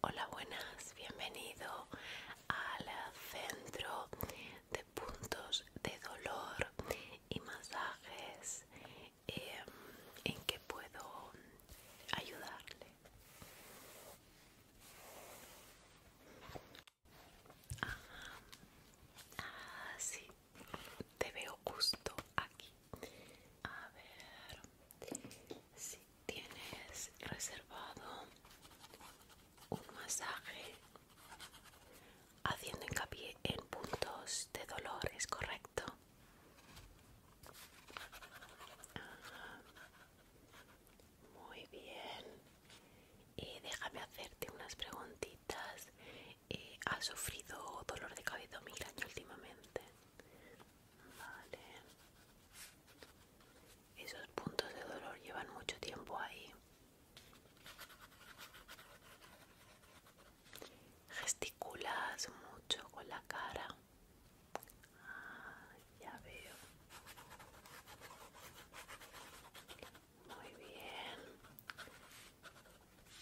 Hola, buenas, bienvenido al centro de puntos de dolor y masajes em, en que puedo ayudarle. Ah, ah, sí, te veo justo aquí. A ver, sí, tienes reservado un masaje haciendo hincapié en puntos de dolor, ¿es correcto? Muy bien. Y déjame hacerte unas preguntitas. Eh, ¿Has sufrido dolor de cabeza mil migraña últimamente? Esos puntos de dolor llevan mucho tiempo ahí. Gesticulas mucho con la cara. Ah, ya veo. Muy bien.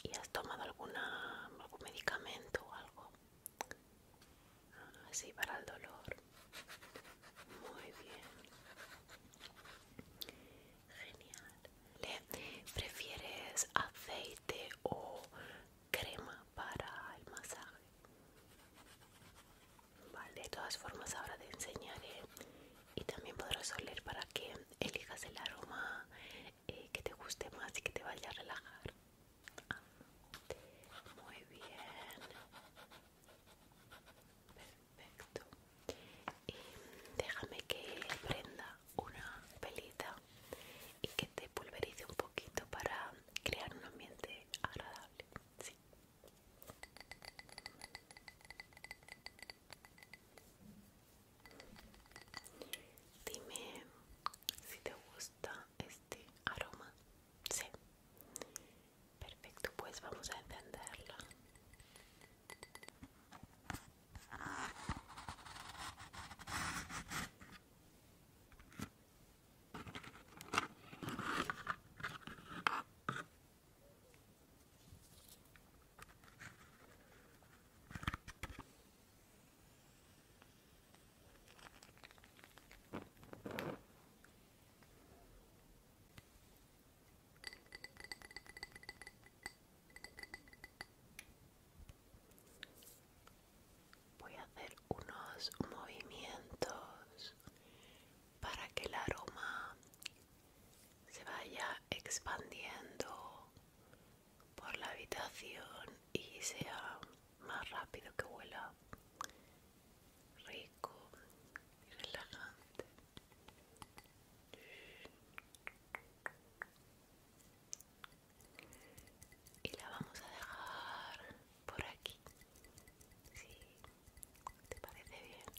¿Y has tomado alguna, algún medicamento o algo? así ah, para el dolor muy bien genial prefieres aceite o crema para el masaje vale de todas formas ahora te enseñaré y también podrás oler para que elijas el aroma eh, que te guste más y que te vaya a relajar muy bien. Perfecto. Y déjame que prenda una pelita y que te pulverice un poquito para crear un ambiente agradable. Dime si te gusta este aroma. Sí. Perfecto, pues vamos a entenderlo Voy a hacer unos movimientos para que el aroma se vaya expandiendo por la habitación y sea más rápido que vuela rico y relajante y la vamos a dejar por aquí si te parece bien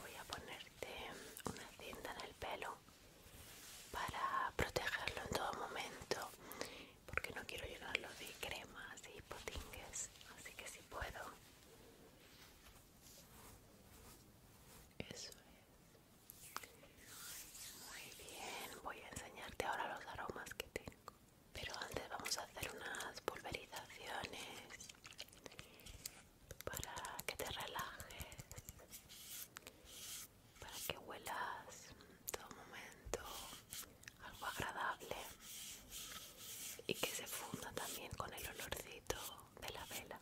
voy a ponerte una tienda en el pelo para protegerlo en todo momento porque no quiero llenarlo de cremas y potingues así que si puedo eso es muy bien voy a enseñarte ahora los aromas que tengo pero antes vamos a hacer unas pulverizaciones para que te relajes para que huelas todo momento algo agradable y que se funda también con el olorcito de la vela.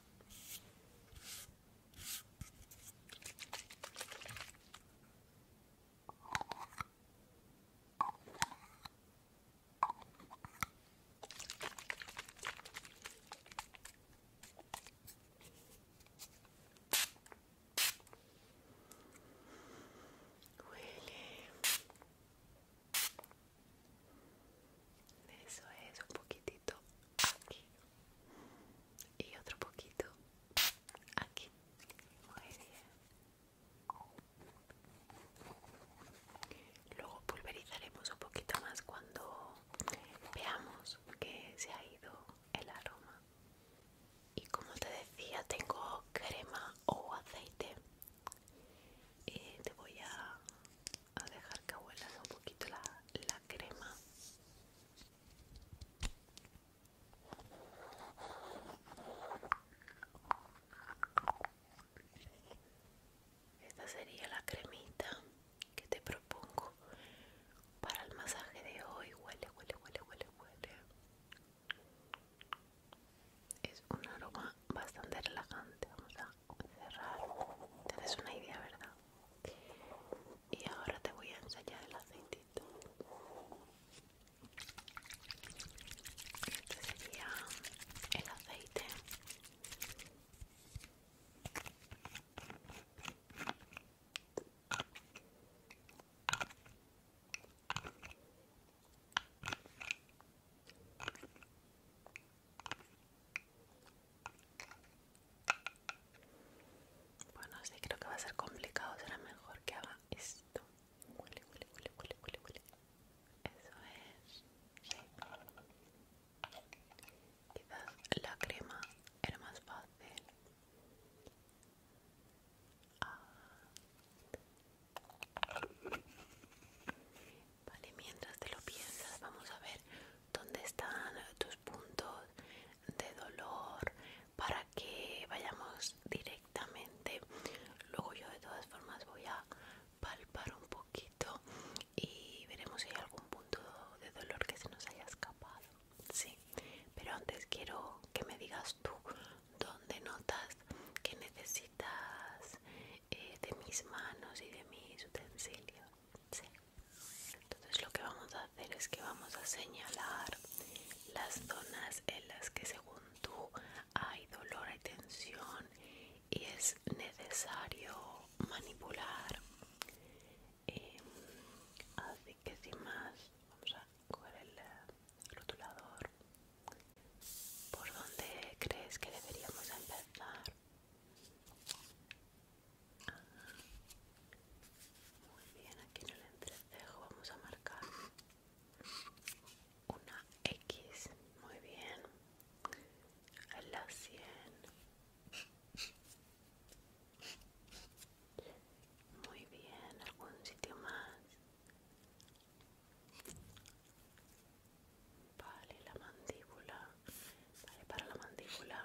Huele. Eso es un poquitito aquí. Y otro poquito aquí. Muy bien. Luego pulverizaremos un poquito más cuando veamos que se ha ido el aroma y como te decía tengo crema o aceite y te voy a, dejar que huelas un poquito la, la crema esta sería la cremita que te propongo para el masaje de hoy. Huele, huele, huele, huele, huele. Es un aroma bastante relajante. Vamos a cerrar. Te una idea, ¿verdad? Y ahora te voy a ensayar el aceitito. Este sería el aceite. Bueno, sí creo que va a ser complicado, será mejor que haga esto. Eso es. Quizás la crema era más fácil. Vale, mientras te lo piensas, vamos a ver dónde están tus puntos de dolor para que vayamos directamente. Luego yo de todas formas voy a palpar un poquito y veremos si hay algún punto de dolor que se nos haya escapado. Sí, pero antes quiero que me digas tú dónde notas que necesitas eh, de mis manos y de mis utensilios. Entonces lo que vamos a hacer es que vamos a señalar las zonas en las que según tú hay dolor, hay tensión y es necesario manipular, em, que sin más vamos a coger eh, el rotulador ¿por dónde crees que deberíamos empezar? Ah, muy bien, aquí en el entrecejo vamos a marcar una X, muy bien, en la 100 muy bien, algún sitio más. Vale, la mandíbula. Vale, para la mandíbula.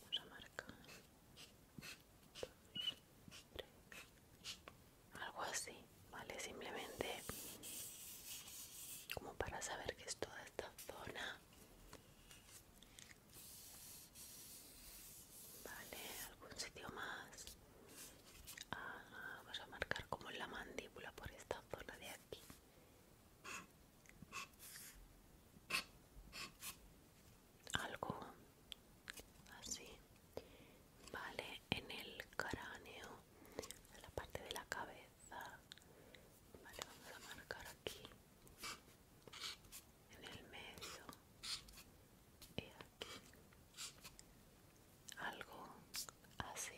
Vamos a marcar. Algo así, ¿vale? Simplemente como para saber que es toda esta zona Vale, algún sitio más. Ah, vamos a marcar como en la mandíbula por esta zona de aquí. Algo así. Vale, en el cráneo, en la parte de la cabeza. Vale, vamos a marcar aquí en el medio y aquí algo así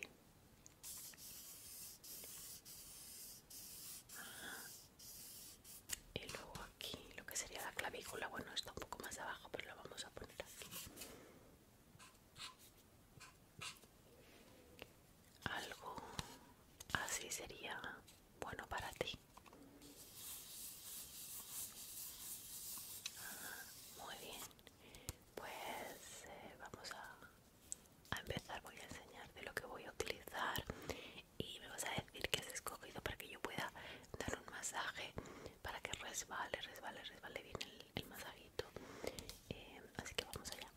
y luego aquí lo que sería la clavícula bueno está un poco más abajo pero lo vamos a poner aquí algo así sería bueno para ti. Ah, muy bien, pues eh, vamos a, a empezar. Voy a enseñarte lo que voy a utilizar y me vas a decir que has escogido para que yo pueda dar un masaje para que resbale, resbale, resbale bien el, masajito. Eh, así que vamos allá.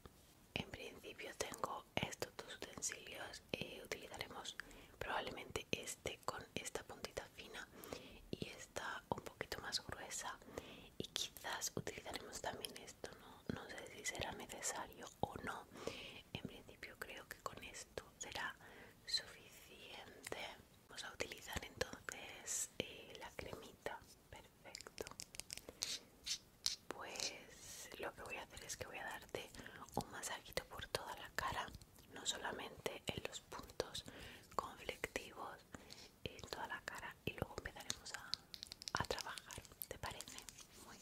En principio tengo estos dos utensilios eh, utilizaremos probablemente este con esta puntita fina y esta un poquito más gruesa y quizás utilizaremos también esto no, sé si será necesario o no en principio creo que con esto será suficiente vamos a utilizar entonces eh, la cremita perfecto pues lo que voy a hacer es que voy a darte un masajito por toda la cara, no solamente en los puntos conflictivos, en toda la cara y luego empezaremos a, trabajar, ¿te parece? Muy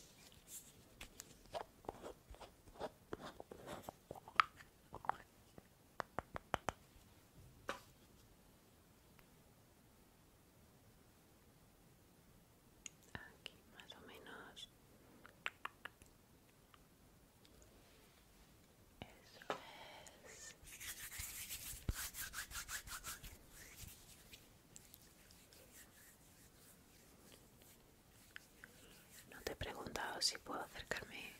aquí más o menos eso es no te he preguntado si puedo acercarme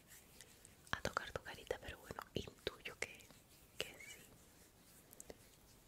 a tocar tu carita pero bueno intuyo que, que sí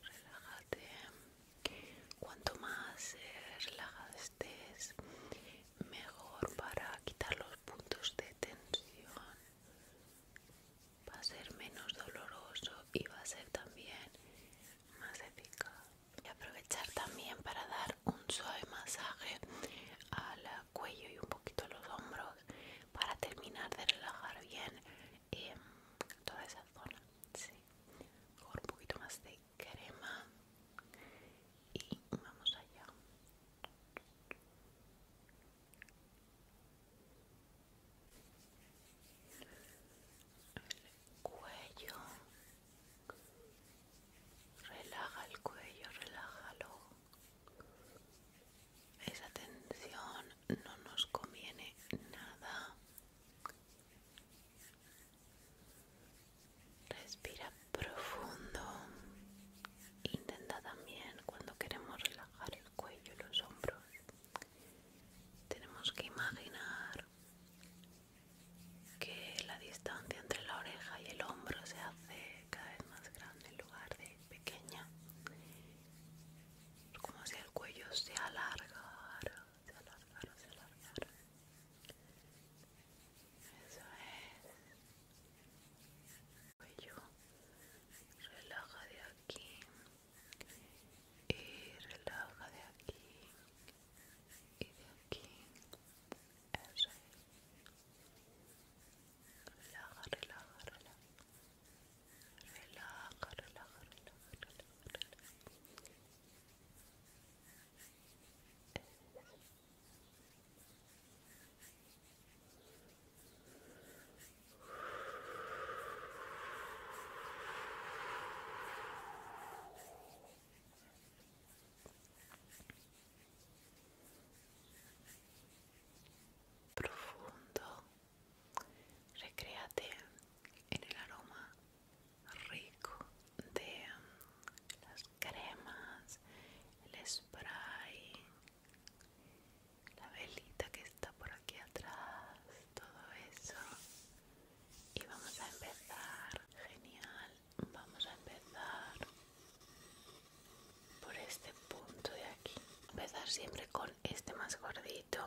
relájate cuanto más relajas relajado estés mejor para quitar los puntos de tensión va a ser menos doloroso y va a ser también más eficaz y aprovechar también para dar un suave masaje al cuello y un poquito a los hombros para terminar de relajar bien Em, toda esa zona, sí, con un poquito más de crema y vamos allá. El cuello, relaja el cuello, relájalo. Esa tensión no nos conviene nada. Respira profundo. Intenta también cuando queremos relajar el cuello y los hombros. Tenemos que imaginar que la distancia entre la oreja y el hombro se hace cada vez más grande en lugar de pequeña. Como si el cuello se alargara se alargaron, se alargaron. Eso es. Cuello. Relaja de aquí. Y relaja de aquí. Y de aquí. Eso es. Relaja, relaja, relaja relaja, profundo Recréate en el aroma rico de mm, las cremas, el spray, la velita que está por aquí atrás, todo eso. Y vamos a empezar. Genial. Vamos a empezar por este punto de aquí. Empezar siempre con este más gordito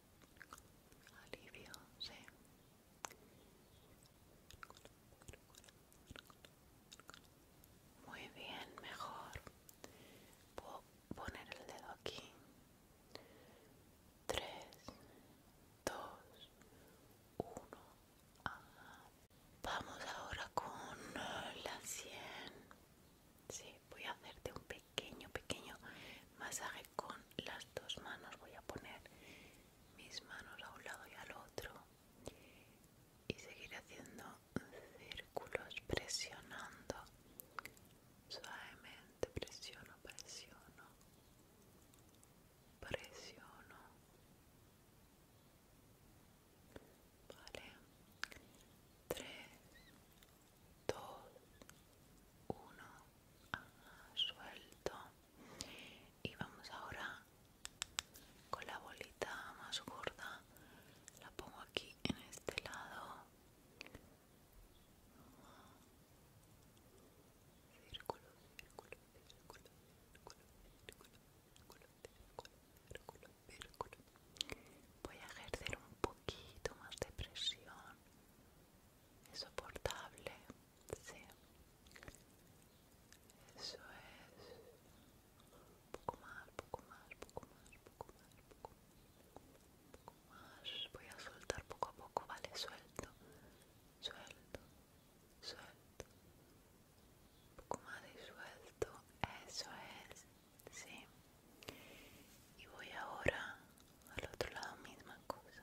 alivio, sí. Muy bien, mejor. Puedo poner el dedo aquí. Tres, dos, uno. Ah. Vamos ahora con la sien. Sí, voy a hacerte un pequeño, pequeño masaje con las dos manos voy a poner mis manos a un lado y al otro y seguir haciendo círculos presionando suavemente presiono presiono presiono vale 3 2 1 suelto y vamos ahora con la bolita más gorda la pongo aquí en este lado voy a ejercer un poquito más de presión es soportable Sí. Eso es. poco más, poco más, poco más, poco más, poco más. Voy a soltar poco a poco, ¿vale? Suelto. Suelto. Suelto. poco más y suelto. Eso es. Sí. Y voy ahora al otro lado, misma cosa.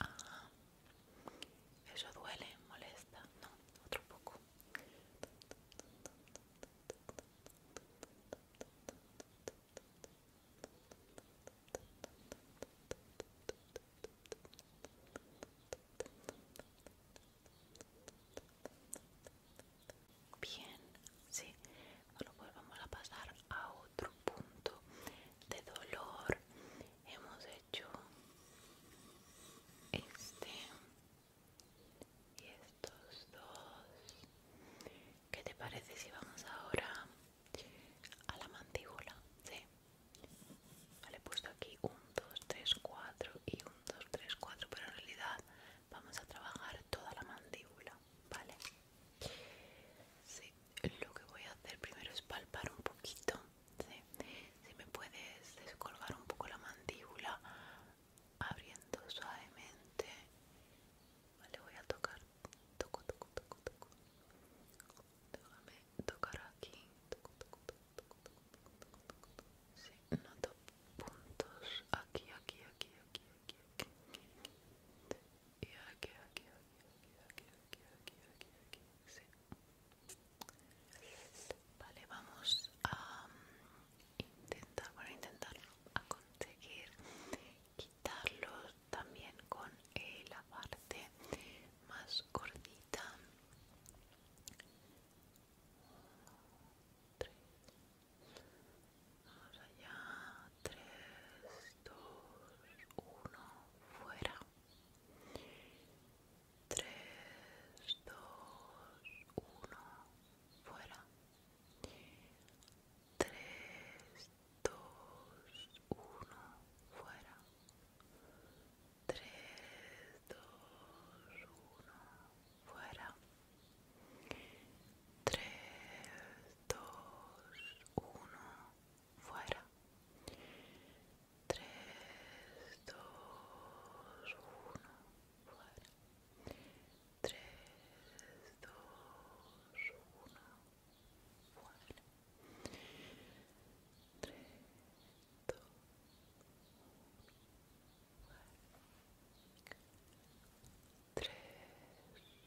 Ah. eso duele, molesta. No, otro poco. Bien, sí. Bueno, pues vamos a pasar a otro punto de dolor hemos hecho este y estos dos ¿qué te parece si vamos ahora a la mandíbula? ¿sí? le he puesto aquí 1, 2, 3, 4 y 1, 2, 3, 4 pero en realidad vamos a trabajar toda la mandíbula ¿vale? sí lo que voy a hacer primero es palpar un poquito. ¿sí? Si me puedes descolgar un poco la mandíbula, abriendo suavemente. Vale, voy a tocar. Toco, toco, toco, toco. Déjame tocar aquí. Toco, toco, toco, toco, toco, toco, toco, toco. Sí, noto puntos aquí, aquí, aquí, aquí, aquí, aquí, aquí. Y aquí, aquí, aquí aquí, aquí, aquí, aquí, aquí, sí. Vale, vamos a um, intentar, bueno, intentarlo, a conseguir quitarlo también con eh, la parte más gordita. 3. Vamos allá. 3, 2, 1, fuera. 3, 2, 1, fuera. 3, 2, 1, fuera. 3, 2, 1, fuera. 3, 2, 1, fuera. 3, 2, 1, fuera. 3, 2, 1, fuera. 3, 2, 1, fuera. 3,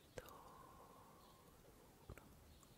2, 1,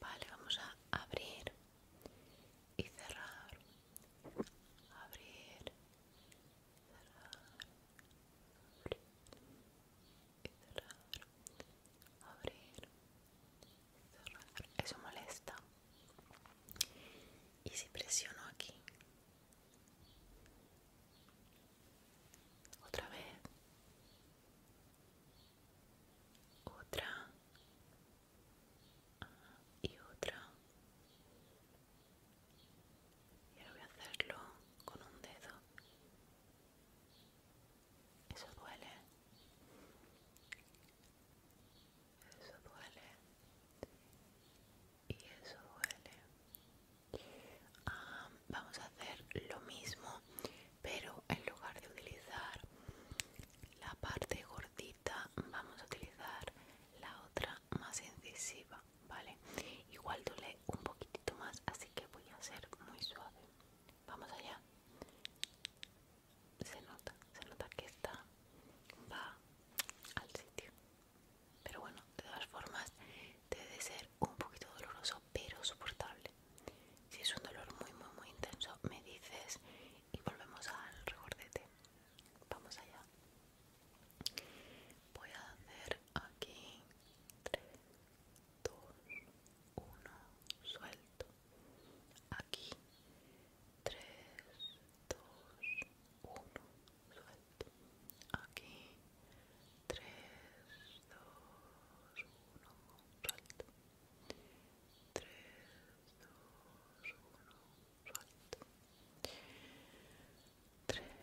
Vale, vamos a abrir y cerrar. Abrir, cerrar. Abrir y cerrar. Abrir, cerrar. Eso molesta. Y si presiono aquí. Otra vez otra ah, y otra y ahora voy a hacerlo con un dedo eso duele eso duele y eso duele vamos a hacer lo mismo pero en lugar de utilizar la parte gordita vamos a utilizar la otra más incisiva vale igual duele un poquitito más así que voy a ser muy suave vamos allá se nota se nota que está va al sitio pero bueno de todas formas debe ser un poquito doloroso pero soportable. Si es un dolor muy muy muy intenso me dices y volvemos al recordete Vamos allá. Voy a hacer aquí 3, 2, 1, suelto. Aquí 3, 2, 1, suelto. Aquí 3, 2, 1, suelto 3, 2, 1, Tres, dos, uno,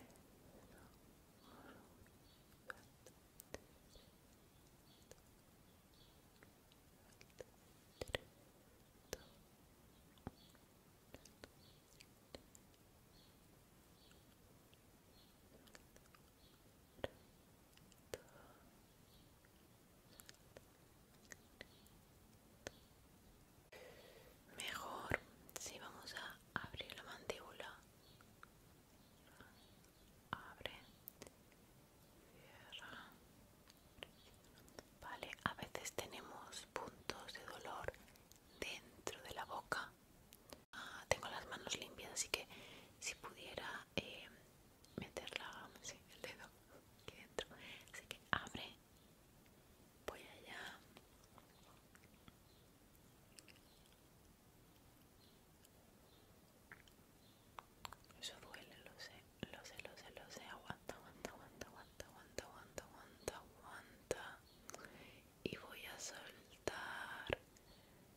Mejor si vamos a abrir la mandíbula. Abre. Vale, a veces tenemos puntos de dolor dentro de la boca Ah, tengo las manos limpias, así que si pudiera meterla eh, meter el dedo aquí dentro. Así que abre, voy allá. Eso duele, lo sé, lo sé, lo sé, lo sé. Aguanta, aguanta, aguanta, aguanta, aguanta, aguanta, aguanta, aguanta. Y voy a soltar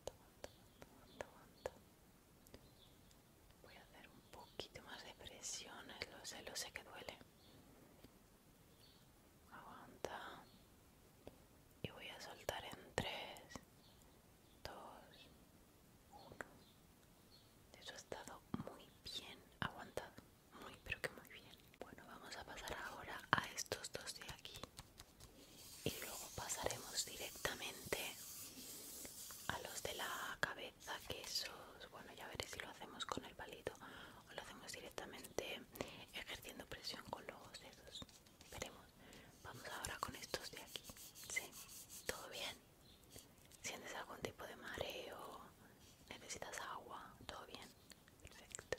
aguanta, aguanta, Voy a hacer un poquito más de presiones, eh, lo sé, lo sé que duele. Aguanta. Y voy a soltar en 3, 2, 1. Eso ha estado muy bien aguantado. Muy, pero que muy bien. Bueno, vamos a pasar ahora a estos dos de aquí y luego pasaremos directamente a los de la cabeza quesos bueno ya veré si lo hacemos con el palito o lo hacemos directamente ejerciendo presión con los dedos veremos vamos ahora con estos de aquí sí todo bien sientes algún tipo de mareo necesitas agua todo bien perfecto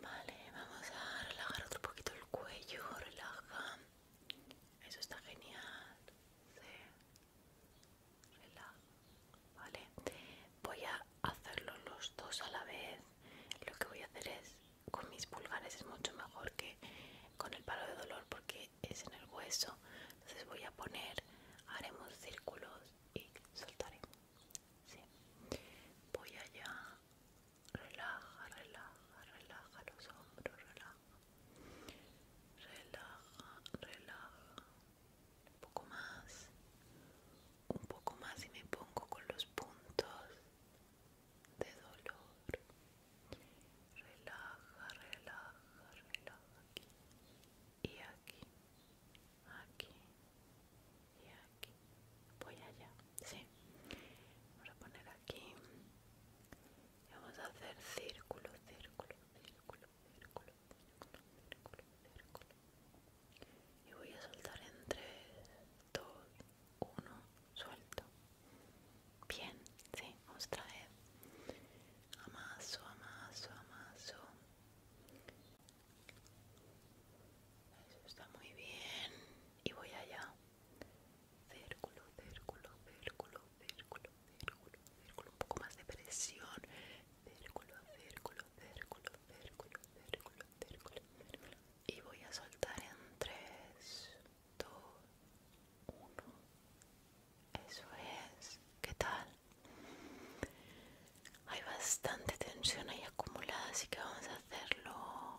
Vale, vamos a relajar otro poquito el cuello, relaja. Eso está genial. Relaja. Vale. Voy a hacerlo los dos a la vez. Lo que voy a hacer es con mis pulgares es mucho mejor que con el palo de dolor porque es en el hueso. Entonces voy a poner, haremos círculos y soltaremos, Sí. Voy allá Relaja, relaja, relaja los hombros, relaja. Relaja, relaja. Un poco más. Un poco más y me pongo con los puntos de dolor. Relaja, relaja, relaja aquí. Y aquí. Aquí. Y aquí voy allá sí vamos a poner aquí vamos a hacer círculo círculo círculo círculo círculo círculo círculo y voy a soltar entre 3 2 suelto bien sí otra amaso amaso amaso eso está muy bien. Y voy allá. Círculo, círculo, círculo, círculo, círculo, círculo. Un poco más de presión. Círculo, círculo, círculo, círculo, círculo, círculo. Y voy a soltar en 3, 2, 1. Eso es. ¿Qué tal? Hay bastante tensión ahí acumulada, así que vamos a hacerlo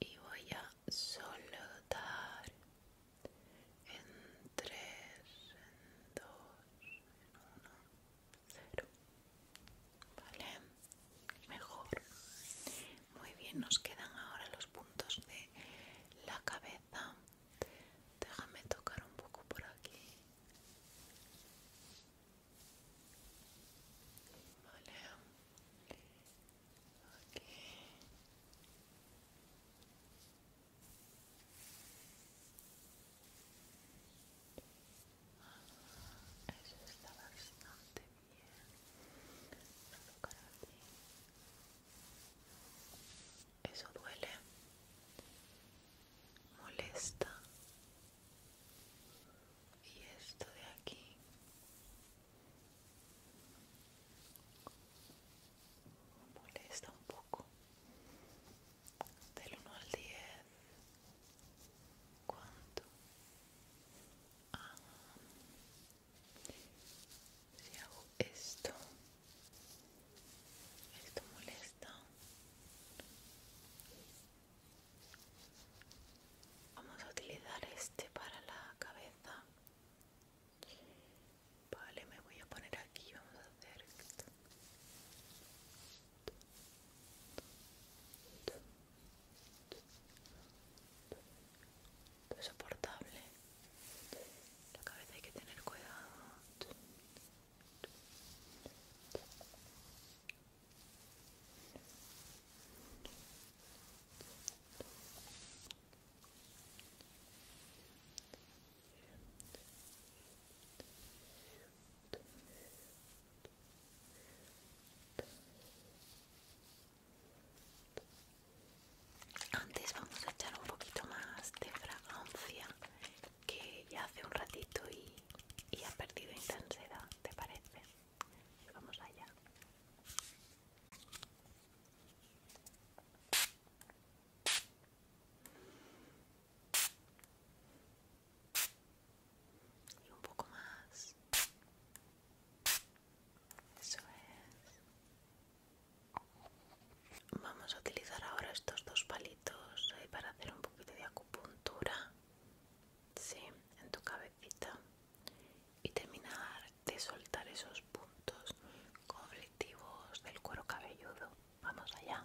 y voy a soltar en 3, en dos, en uno, cero Vale, mejor. Muy bien, nos quedan ahora los puntos de la cabeza. Déjame tocar un poco por aquí. Vale. Aquí. eso está bastante bien. Eso duele. Molesta y esto de aquí molesta un poco del 1 al 10 cuánto ah. si hago esto esto molesta Vamos a utilizar este para la cabeza. Vale, me voy a poner aquí. Vamos a hacer. es Soportable. La cabeza hay que tener cuidado. Antes vamos a echar un poquito más de fragancia que ya hace un ratito y, ha perdido intensidad, ¿te parece? Vamos allá. Y un poco más. Eso es. Vamos a utilizar ahora estos dos palitos para hacer un poquito de acupuntura sí, en tu cabecita y terminar de soltar esos puntos conflictivos del cuero cabelludo. Vamos allá.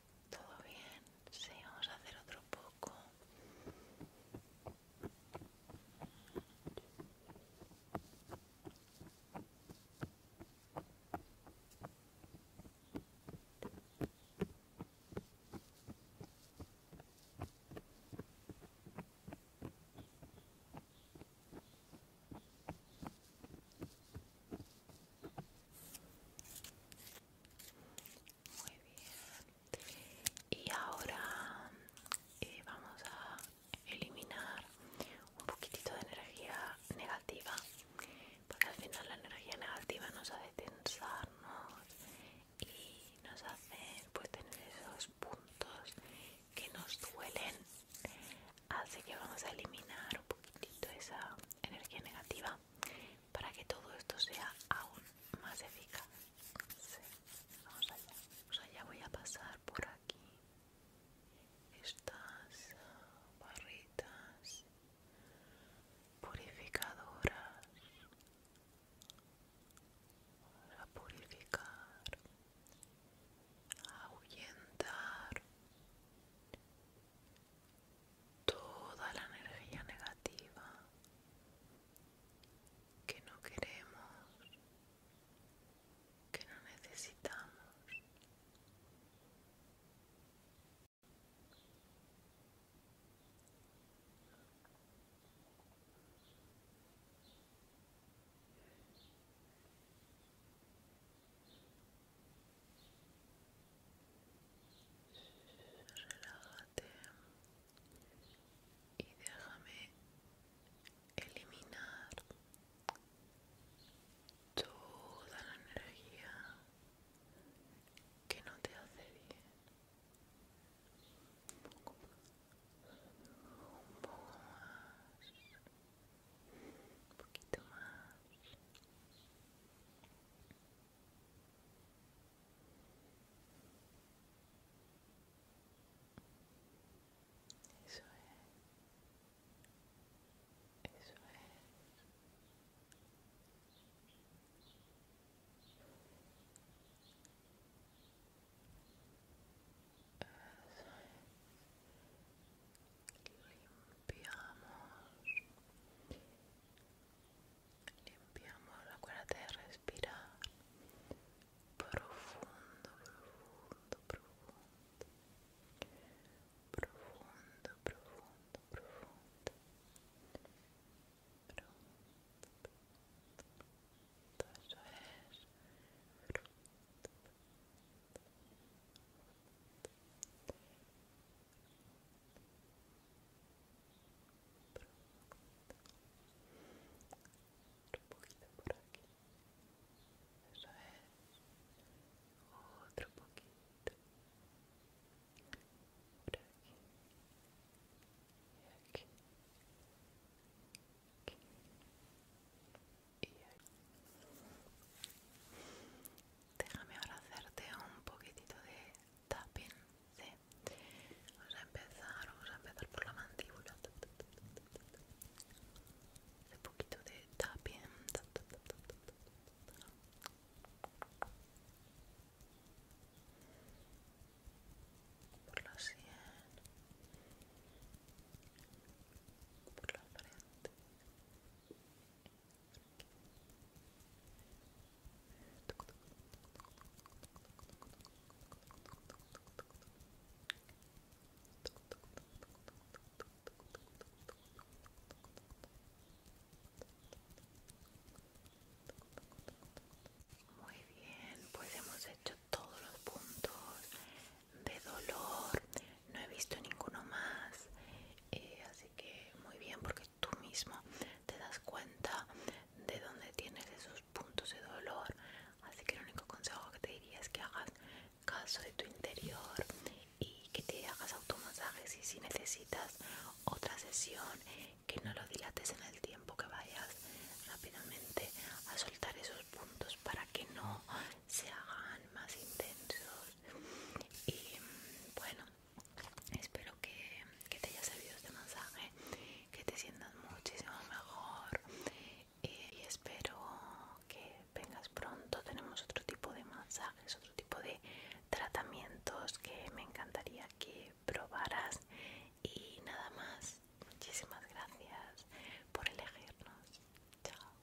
Todo bien, sí, vamos a hacer otro poco. Muy bien. Y ahora eh, vamos a eliminar un poquitito de energía negativa, porque al final la energía negativa nos hace tensarnos y nos hace pues, tener esos puntos que nos duelen. Así que vamos a eliminar un poquitito esa energía negativa para que todo esto sea aún más eficaz. Vamos allá. O ya voy a pasar por aquí estas barritas purificadoras. Vamos a purificar, ahuyentar toda la energía negativa que no queremos, que no necesitamos. Relájate y déjame eliminar toda la energía que no te hace bien. Un poco más, un poquito más. Eso es. Eso es. Eso es. Limpiamos limpiamos, cuerda de respirar profundo, profundo, profundo profundo, profundo, profundo, profundo, un poquito por aquí eso es otro poquito por aquí y aquí, aquí. y aquí déjame ahora hacerte un poquitito de sí. Vamos a empezar, vamos a empezar por la mandíbula. Un poquito de tapping. Por la sien. Por la frente. Muy bien, pues hemos hecho todos los puntos de dolor, no he visto ninguno más, eh, así que muy bien porque tú mismo te das cuenta de dónde tienes esos puntos de dolor. Así que el único consejo que te diría es que hagas caso de tu interior y que te hagas automasajes y si necesitas otra sesión, que no lo dilates en el tiempo, que vayas rápidamente a soltar esos puntos para que no se hagan más intensos. Y mm, bueno, Espero que, te haya servido este mensaje, que te sientas muchísimo mejor eh, y espero que vengas pronto. Tenemos otro tipo de masajes, otro tipo de tratamientos que me encantaría que probaras y nada más. Muchísimas gracias por elegirnos. Chao.